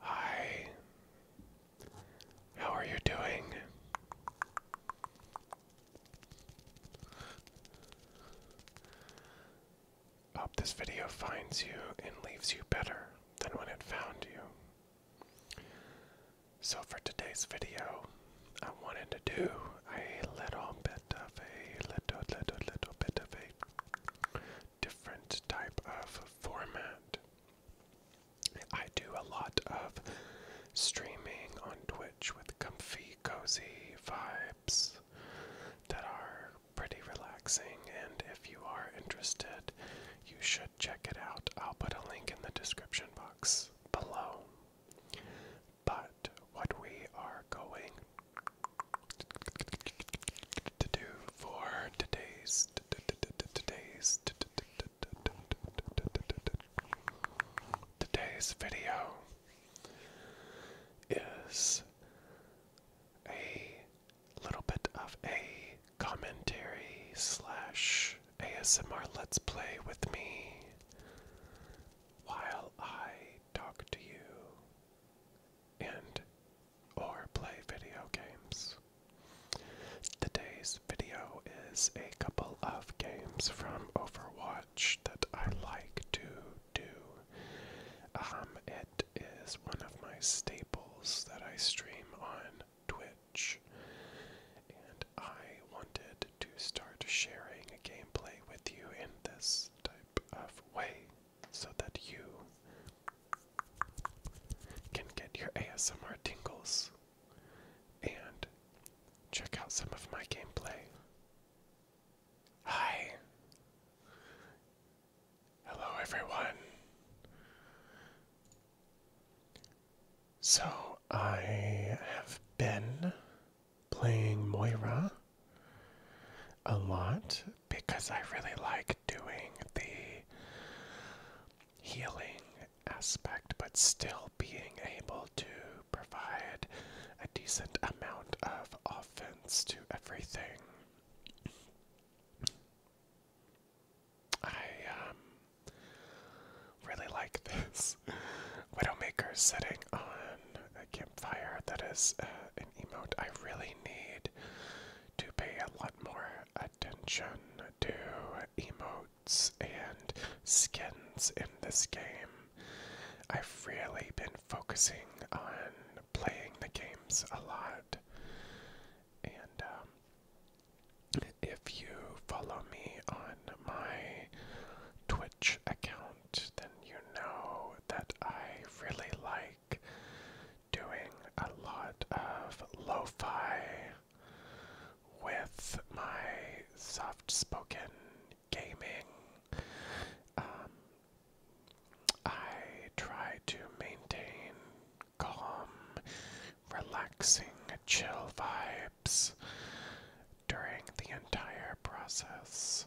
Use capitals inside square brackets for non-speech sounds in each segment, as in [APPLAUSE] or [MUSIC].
Hi. How are you doing? Hope this video finds you and leaves you better than when it found you. So, for today's video, I wanted to do a little bit of a little, little, little bit of a different type of format. I do a lot of streaming on Twitch with comfy, cozy vibes that are pretty relaxing, and if you are interested, you should check it out. I'll put a link in the description box below. But what we are going to do for today's today's today's video is a little bit of a commentary slash ASMR let's play with me while I talk to you and or play video games. Today's video is a couple of games from Overwatch that I like to do. Um, it is one of my staples that I stream on Twitch, and I wanted to start sharing a gameplay with you in this type of way so that you can get your ASMR tingles and check out some of my gameplay. Hi! Hello, everyone! So, I have been playing Moira a lot because I really like doing the healing aspect, but still being able to provide a decent amount of offense to everything. I um, really like this [LAUGHS] Widowmaker setting on a campfire that is uh, an emote I really need to pay a lot more attention to emotes and skins in this game. I've really been focusing on playing the games a lot. And um, if you follow me on my Twitch account, then you know that I really like doing a lot of lo fi with my soft spoken gaming. Um, I try to maintain calm, relaxing, chill vibes during the entire process.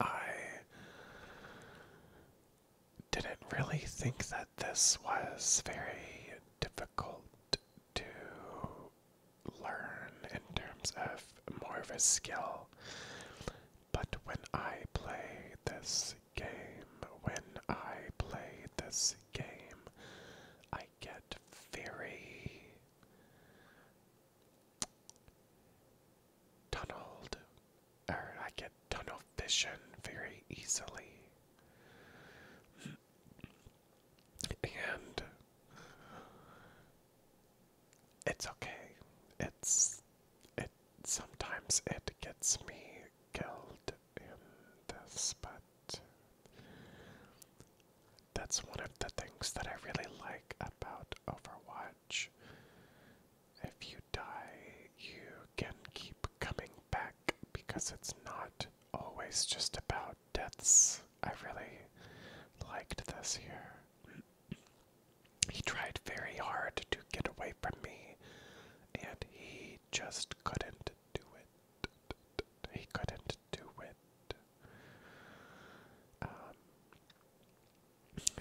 I didn't really think that this was very difficult to learn in terms of more of a skill. But when I play this game, when I play this game, I get very tunneled, or I get tunnel vision very easily. And it's okay. It's it sometimes it gets me killed in this, but that's one of the things that I really like about Overwatch. If you die, you can keep coming back because it's not always just about deaths. I really liked this here. He tried very hard to get away from me, and he just couldn't do it. He couldn't do it. Um,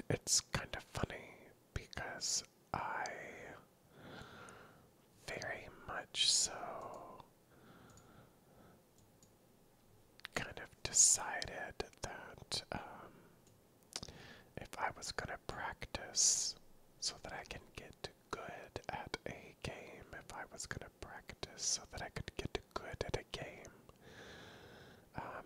it's kind of funny because I very much so kind of decided that um, if I was going to practice so that I can get good at a game, if I was going to practice so that I could get good at a game, um,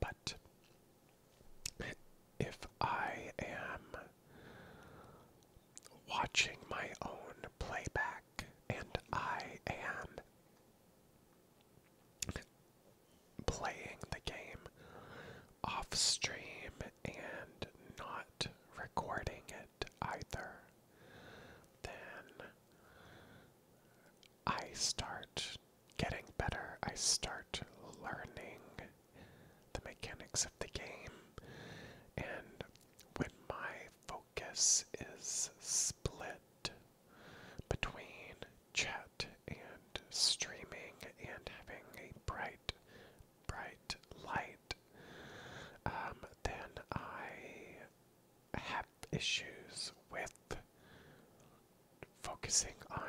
but if I am watching my own playback and I am playing the game off stream and not recording it either, then I start getting better, I start learning the mechanics of the game. And when my focus is split between chat and streaming and having a bright, bright light, um, then I have issues with focusing on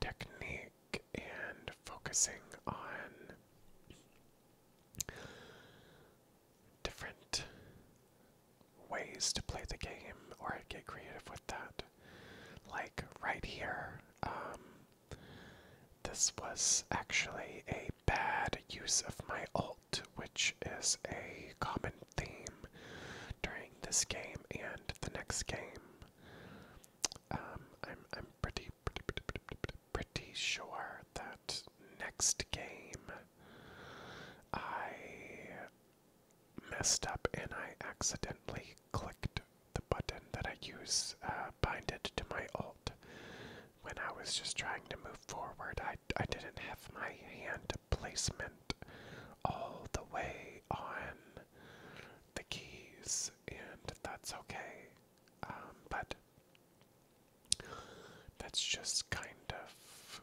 technique and focusing on different ways to play the game or get creative with that. Like right here, um, this was actually a bad use of my alt, which is a common theme during this game and the next game. Um, I'm I'm pretty pretty pretty pretty, pretty sure that next game I messed up and I accidentally clicked the button that I use uh, binded to my alt when I was just trying to move forward. I I didn't have my hand placement all the way on the keys, and that's okay. Um, but that's just kind of,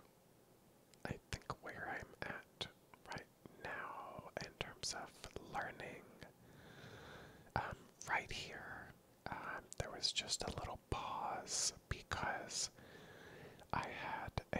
I think, where I'm at right now in terms of learning. Um, right here, um, there was just a little pause because I had a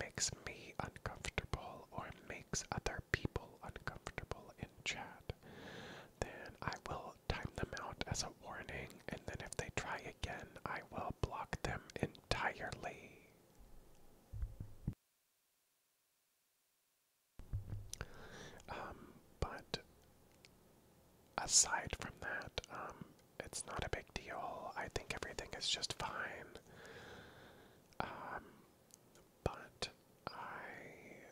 makes me uncomfortable or makes other people uncomfortable in chat, then I will time them out as a warning, and then if they try again, I will block them entirely. Um, but aside from that, um, it's not a big deal. I think everything is just fine. Um, but I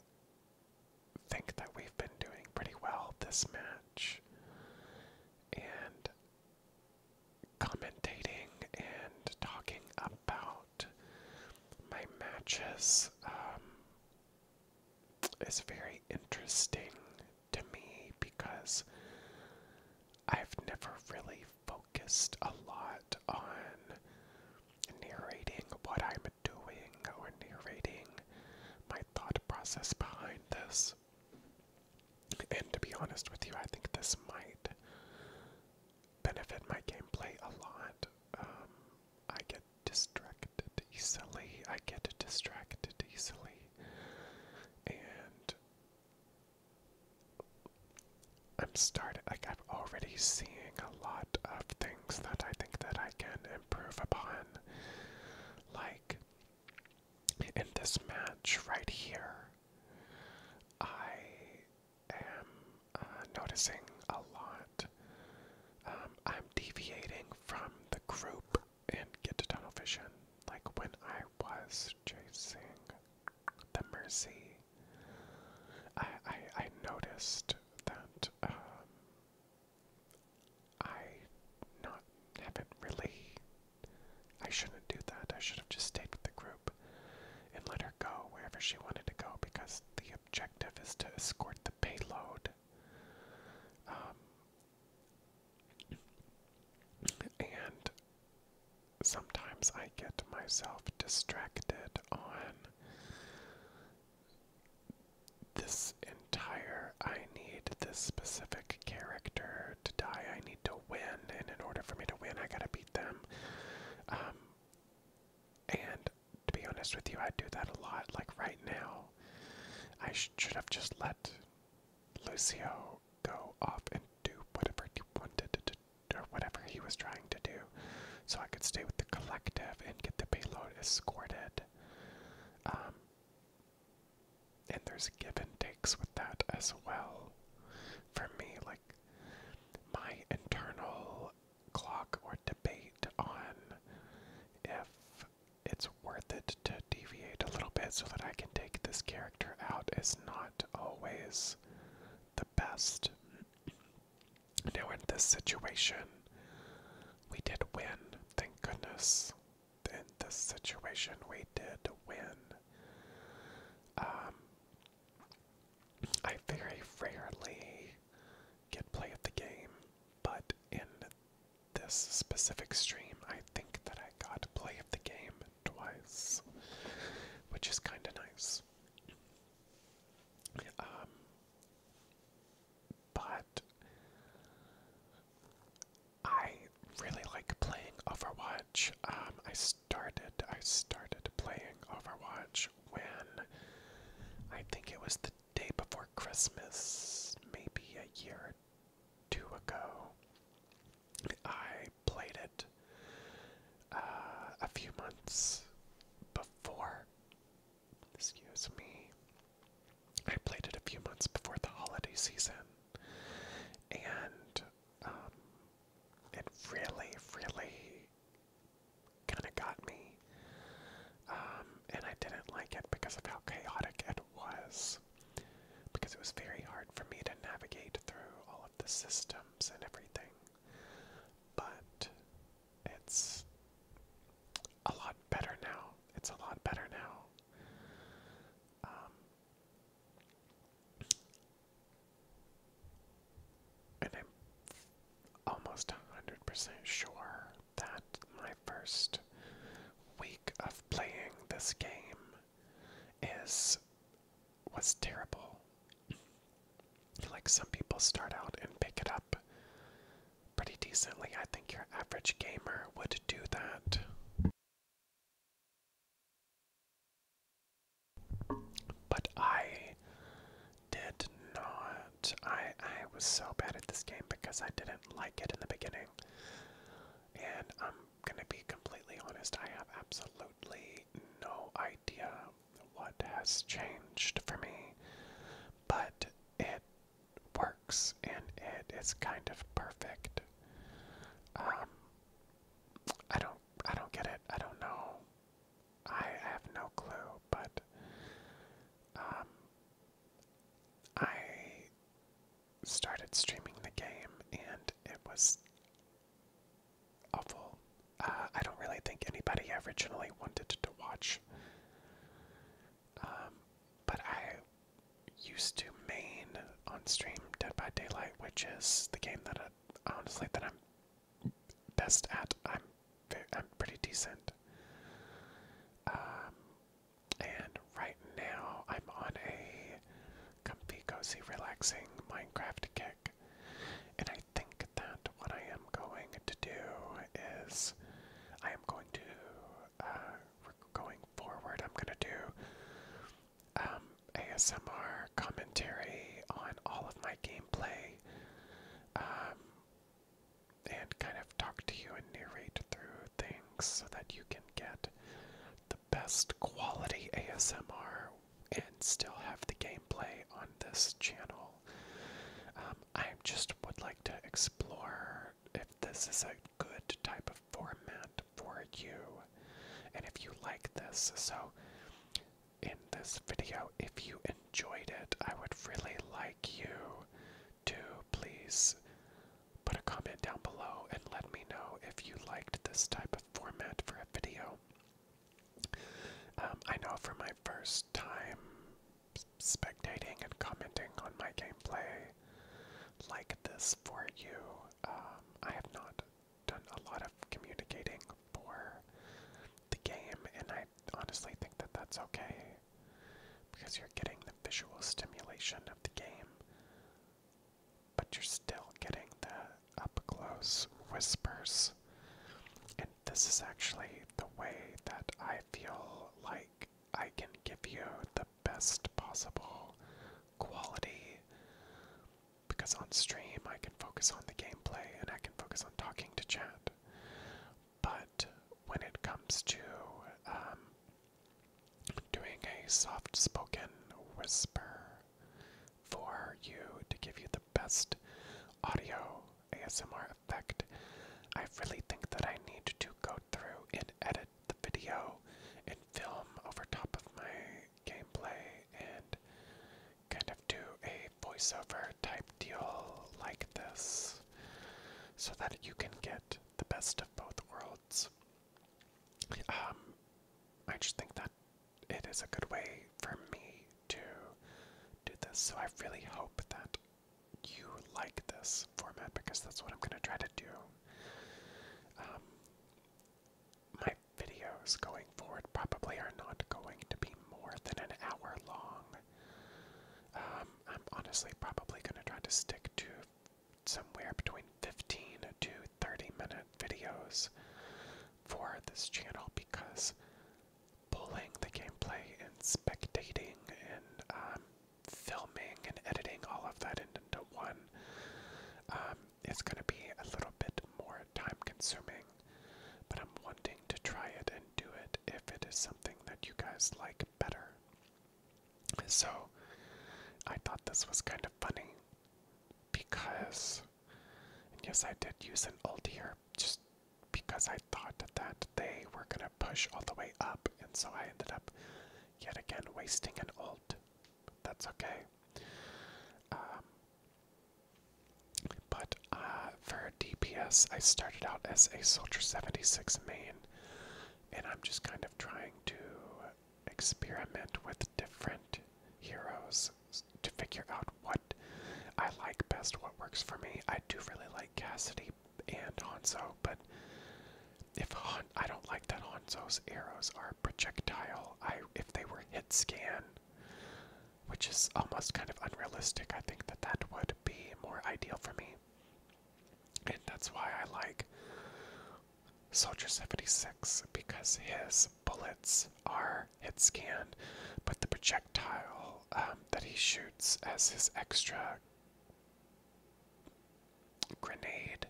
think that we've been doing pretty well this match. And commentating and talking about my matches um, is very interesting to me because I've never really focused a lot on narrating what I'm doing or narrating my thought process behind this. And to be honest with you, I think this might benefit my gameplay a lot. Um, I get distracted easily. I get distracted easily. And I'm starting, like, I'm already seeing a lot of things that I think that I can improve upon. Like, in this match right here, I am uh, noticing a lot. Um, I'm deviating from the group and Get to Tunnel Vision. Like when I was chasing the Mercy. I I, noticed that um, I not haven't really. I shouldn't do that. I should have just stayed with the group and let her go wherever she wanted to go because the objective is to escort the payload. Um, and sometimes I get myself distracted on this entire I need this specific character to die, I need to win, and in order for me to win, I gotta beat them. Um, and to be honest with you, I do that a lot. Like right now, I should have just let Lucio go off and do whatever he wanted to or whatever he was trying to do. So I could stay with the collective and get the payload escorted. Um, and there's give and takes with that as well. For me, like, my internal clock or debate on if it's worth it to deviate a little bit so that I can take this character out is not always the best. Now, in this situation, we did win, thank goodness. In this situation, we did win. Um, I very rarely get play of the game, but in this specific stream, I think that I got play of the game twice, which is kind of nice. Um, but I really like playing Overwatch. Um, I started, I started playing Overwatch when I think it was the day before Christmas, maybe a year two ago. I I played it uh, a few months before. Excuse me. I played it a few months before the holiday season, and um, it really, really kind of got me. Um, and I didn't like it because of how chaotic it was because it was very hard for me to navigate through all of the systems and everything. But it's a lot better now. It's a lot better now. Um, and I'm almost 100% sure that my first week of playing this game is was terrible. Like some people start out and pick it up pretty decently. I think your average gamer would do that. But I did not. I I was so bad at this game because I didn't like it in the beginning. And I'm gonna be completely honest, I have absolutely absolutely no idea what has changed for me, but it works and it is kind of perfect. Um, I don't, I don't get it. I don't know. I have no clue, but um, I started streaming the game and it was awful. Uh, I don't really think anybody originally wanted to watch. Um, but I used to main on stream Dead by Daylight, which is the game that I, uh, honestly that I'm best at. I'm I'm pretty decent. Um, and right now I'm on a comfy, cozy, relaxing Minecraft kick. And I think that what I am going to do is I am going to, uh, going forward, I'm going to do um, ASMR commentary on all of my gameplay um, and kind of talk to you and narrate through things so that you can get the best quality ASMR and still have the gameplay on this channel. Um, I just would like to explore if this is a good type of format for you and if you like this. So, in this video, if you enjoyed it, I would really like you to please put a comment down below and let me know if you liked this type of format for a video. Um, I know for my first time spectating and commenting on my gameplay like this for you, um, I have not done a lot of communicating for the game, and I honestly think that that's okay because you're getting the visual stimulation of the game but you're still getting the up close whispers. And this is actually the way that I feel like I can give you the best possible quality because on stream I can focus on the gameplay and I can focus on talking to chat. But when it comes to um, doing a soft spoken whisper for you to give you the best audio ASMR effect. I really think that I need to go through and edit the video and film over top of my gameplay and kind of do a voiceover type deal like this so that you can get the best of both worlds. Um, I just think that it is a good way for me to do this. So I really hope that you like this format because that's what I'm going to try to do. Um, my videos going forward probably are not going to be more than an hour long. Um, I'm honestly probably going to try to stick to somewhere between 15 to 30 minute videos for this channel because pulling the gameplay and spectating and um, filming and editing all of that into one um, is going to be a little bit more time consuming. But I'm wanting to try it and do it if it is something that you guys like better. So I thought this was kind of funny because yes, I did use an ult here just because I thought that they were going to push all the way up, and so I ended up yet again wasting an ult. That's okay. Um, but uh, for DPS, I started out as a Soldier 76 main, and I'm just kind of trying to experiment with different heroes to figure out what I like best, what works for me. I do really like Cassidy and Hanzo, but if Han I don't like that Hanzo's arrows are projectile. I if they were hit scan, which is almost kind of unrealistic, I think that that would be more ideal for me. And that's why I like Soldier 76 because his bullets are hit scan, but the projectile um, that he shoots as his extra grenade,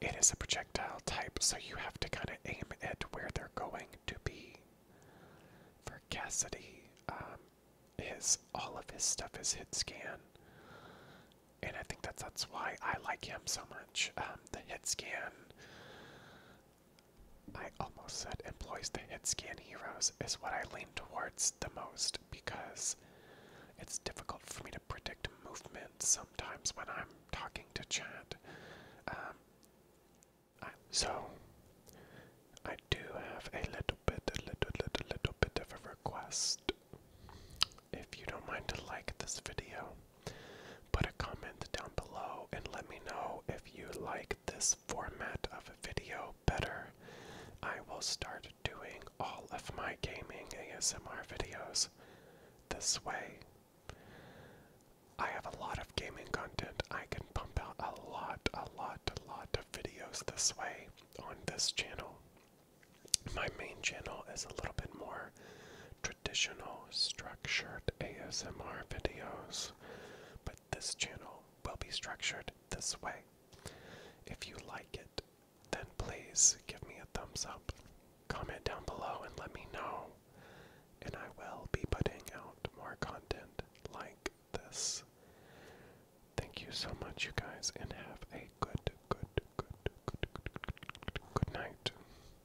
it is a projectile type, so you have to kind of aim it where they're going to be. For Cassidy, um, his all of his stuff is hit scan, and I think that that's why I like him so much. Um, the hit scan I almost said employs the hit scan heroes is what I lean towards the most because it's difficult for me to predict movement sometimes when I'm talking to Chant. Um, so I do have a little bit, a little, little, little bit of a request. If you don't mind to like this video Put a comment down below and let me know if you like this format of a video better. I will start doing all of my gaming ASMR videos this way. I have a lot of gaming content. I can pump out a lot, a lot, a lot of videos this way on this channel. My main channel is a little bit more traditional structured ASMR videos, but this channel will be structured this way. If you like it, then please give me a thumbs up, comment down below, and let me know. And I will be putting out more content like this. Thank you so much, you guys, and have a good, good, good, good, good, good, good night.